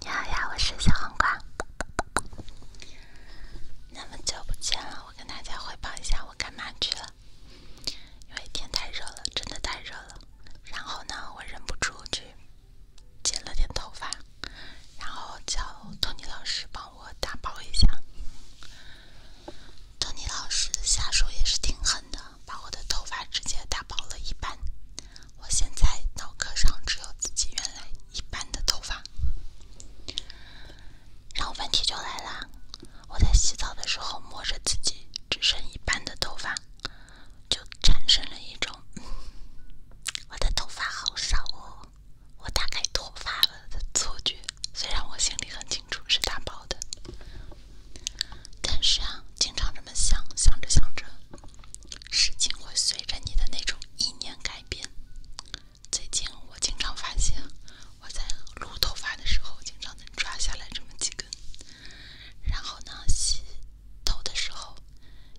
你 好呀，我是小黄瓜。那么久不见了，我跟大家汇报一下我干嘛去了。因为天太热了，真的太热了。然后呢，我忍不住去剪了点头发，然后叫托尼老师帮我打包一下。托尼老师下手也是挺狠的，把我的头发直接打薄了一半。我现在脑壳上只有自己原来一半的头发。然后问题就来了，我在洗澡的时候摸着自己只剩一半的头发，就产生了一种我的头发好少哦，我大概脱发了的错觉。虽然我心里很清楚是打薄的。但是啊，经常这么想，想着想着，事情会随着你的那种意念改变。最近我经常发现，我在撸头发的时候，经常能抓下来这么几根；然后呢，洗头的时候，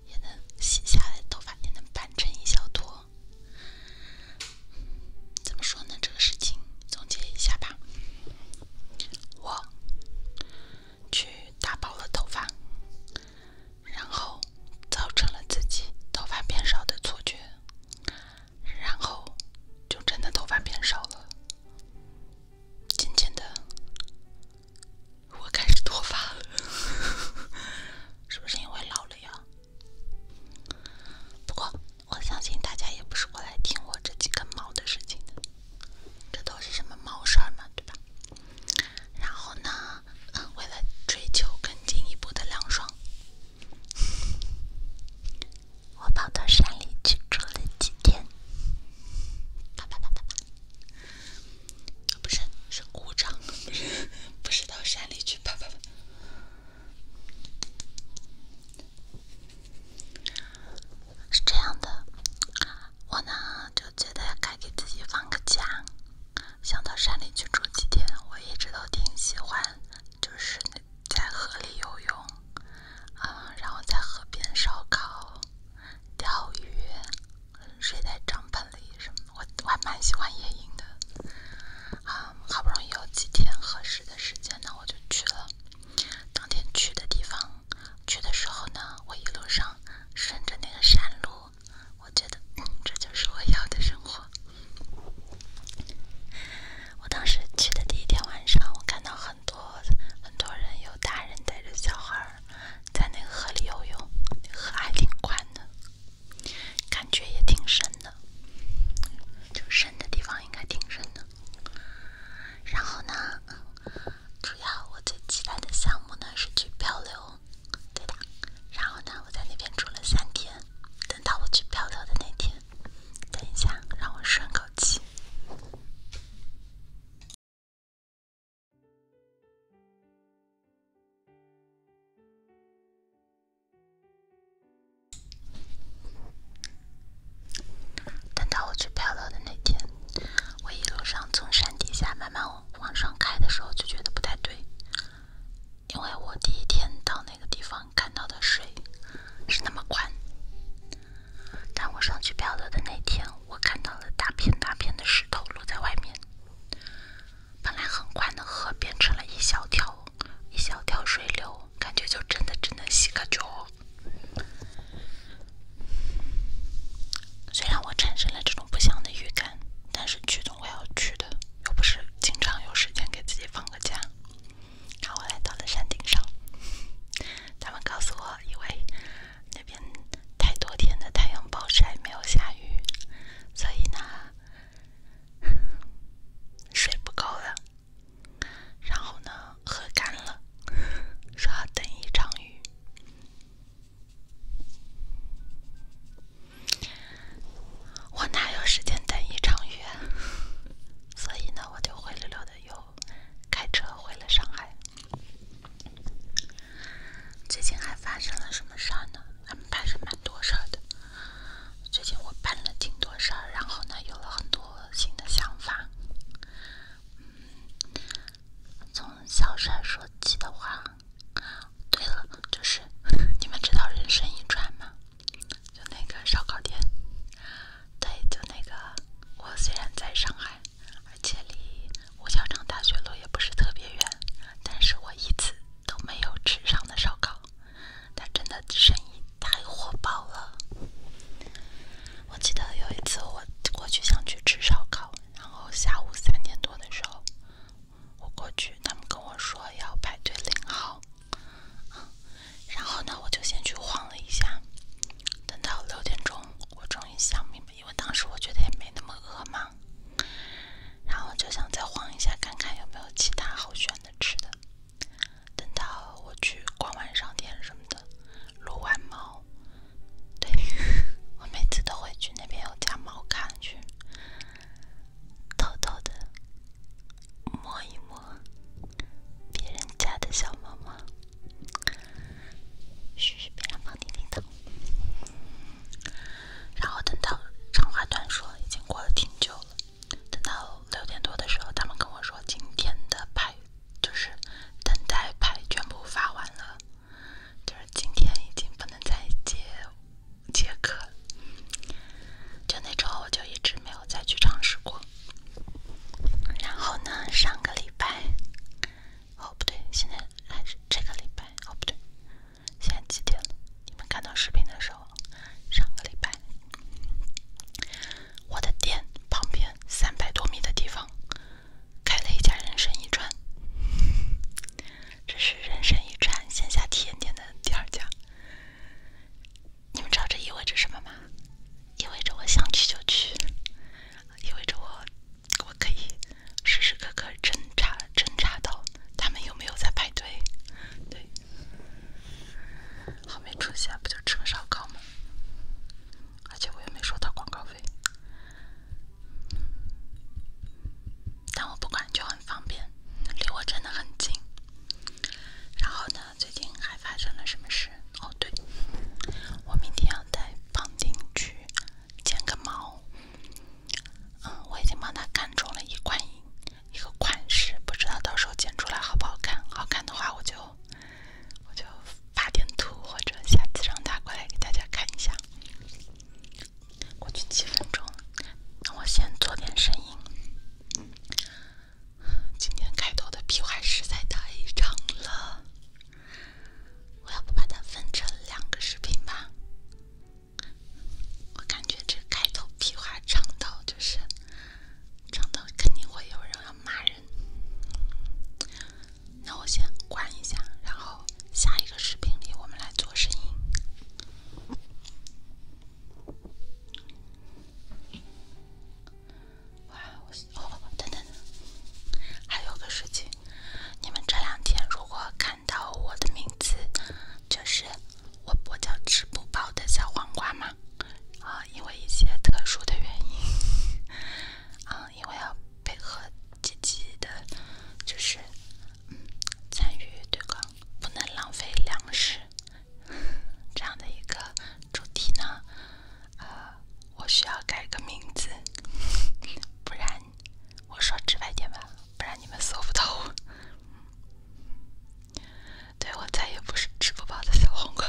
也能洗下来头发，也能扳成一小坨。怎么说呢？这个事情总结一下吧。我去打薄了头发，然后造成了自己头发变少的错觉，然后就真的头发变少了。渐渐的，我开始脱发，是不是因为老了呀？不过。我相信大家也不是过来听我这几根毛的事情的，这都是什么毛事儿嘛，对吧？然后呢，为了追求更进一步的凉爽，我跑到山里去住了几天。啪啪啪啪啪，不是，是鼓掌，不是，不是到山里去啪啪啪。是这样的，我呢就觉得该给自己放个假，想到山里去住几天。我一直都挺喜欢，就是在河里游泳，啊，然后在河边烧烤、钓鱼，睡在帐篷里什么，我还蛮喜欢野营的。啊。好不容易有几天合适的时间，那我就去了。当天去的地方，去的时候呢，我一路上顺着那个山路，我觉得这就是我要的生活。我当时去的第一天晚上，我看到很多很多人，有大人带着小孩儿在那个河里游泳，河还挺宽的，感觉也挺深。的，就深的地方应该挺深的。然后呢，主要我最期待的项目呢是去漂流，对的。然后呢，我在那边住了三天，等到我去漂流的那天，等一下让我顺口气。等到我去漂流的那天，我一路上从山底下慢慢往上开的时候，就觉得不太对，因为我第一天到那个地方看到的水是那么宽，但我上去漂流的那天，我看到了大片大片的石头落在外面，本来很宽的河变成了一小条、一小条水流。感觉就真的真的洗个脚。虽然我产生了这种不祥的预感，但是去总我要去的，又不是经常有时间给自己放个假。然后我来到了山顶上，他们告诉我，因为那边太多天的太阳暴晒，没有下雨，所以呢。水不够了，然后呢，喝干了，说要等一场雨。我哪有时间等一场雨？啊。所以呢，我就灰溜溜的又开车回了上海。最近还发生了什么事儿呢？还是蛮多事儿的。最近我办了挺多事儿，然后呢，有了很多新的想法。从小帅说起的话，对了，就是 你们知道人生一转吗？就那个烧烤店。对，就那个。我虽然在上海，而且离五角场大学路也不是特别远，但是我一次都没有吃上的烧烤。他真的生意太火爆了。我记得有一次我过去想去吃烧烤，然后下午三点多的时候我过去，他们跟我说要排队领号。然后呢，我就先去晃了一下，等到六点钟，我终于想明白，因为当时我觉得也没那么饿嘛。然后就想再晃一下，看看有没有其他好选的吃的。等到我去逛完商店什么的，撸完猫，对，我每次都会去那边有家猫咖去，偷偷的摸一摸别人家的小猫猫，嘘，嘘，别让猫听到。然后等到长话短说，已经过了挺久了。等到六点多的时候，他们跟我说今天的牌就是等待牌全部发完了，就是今天已经不能再接接客就那之后我就一直没有再去尝试过。然后呢，上个礼拜哦不对，现在还是这个礼拜哦不对。现在几点了？你们看到视频的时候，上个礼拜，我的店旁边三百多米的地方开了一家人参一串，这是人参一串线下体验店的第二家。你们知道这意味着什么吗？意味着我想去就去，意味着我我可以。时时刻刻侦查，侦查到他们有没有在排队。对，后面出现不就吃烧烤吗？而且我也没收到广告费，但我不管就很方便，离我真的很近。然后呢，最近还发生了什么事？哦对，我明天要带邦丁去剪个毛。嗯，我已经帮他看中了一款一个款式，不知道到时候剪出来好不好看。好看的话，我就我就发点图，或者下次让他过来给大家看一下。过去几分钟，那我先做点声音。今天开头的屁话实在太长了，我要不把它分成两个视频吧。我感觉这开头屁话唱到就是唱到肯定会有人要骂人，那我先关一下，然后下一个视频里我们来做声音。哇，我哦等等，还有个事情，你们这两天如果看。到我的名字，就是我，我叫吃不饱的小黄瓜嘛，啊，因为一些特殊的原因，啊，因为要配合积极的，就是参与对抗，不能浪费粮食这样的一个主题呢，啊，我需要改个名字，不然。我说直白点吧，不然你们搜不到我。对，我再也不是支付宝的小黄瓜，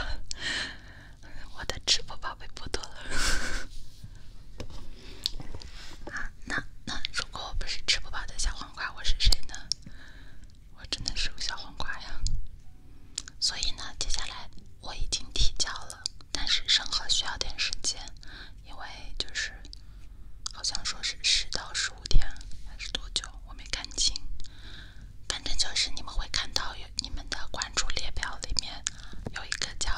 我的支付宝被剥夺了。啊，那那如果我不是支付宝的小黄瓜，我是谁呢？我真的是个小黄瓜呀。所以呢，接下来我已经提交了，但是审核需要点时间。因为就是，好像说是十到十五天还是多久，我没看清。反正就是你们会看到有你们的关注列表里面有一个叫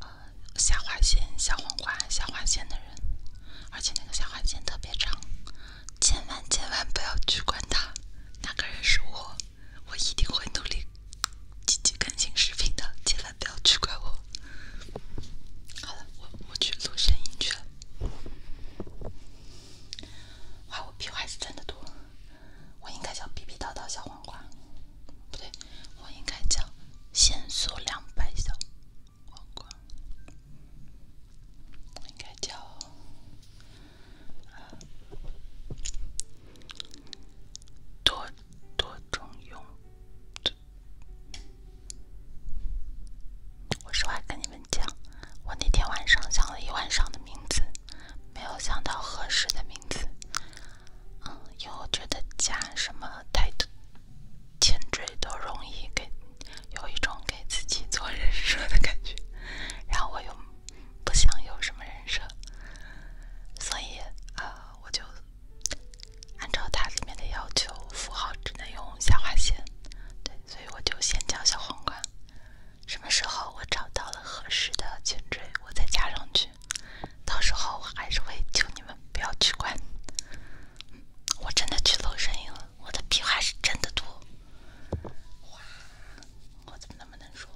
呃小花线小黄瓜下划线的人，而且那个下划线特别长，千万千万不要去管他。那个人是我，我一定会努力。积极更新视频的，千万不要取关我。好了，我我去录声音去了。哇，我 P 还是真的多。我应该叫逼逼叨叨小黄瓜，不对，我应该叫限速两百小黄瓜。我应该叫多。多种用。途。我实话跟你们讲，我那天晚上想了一晚上的名字，没有想到合适的名字。嗯，因为我觉得加什么太多前缀都容易给有一种给自己做人设的感觉。然后我又。不想有什么人设，所以啊，我就按照它里面的要求，符号只能用下划线。对，所以我就先叫小皇冠。什么时候我找到了合适的颈椎，我再加上去。到时候我还是会求你们不要取关。我真的去露声音了，我的屁话是真的多。哇，我怎么那么能说？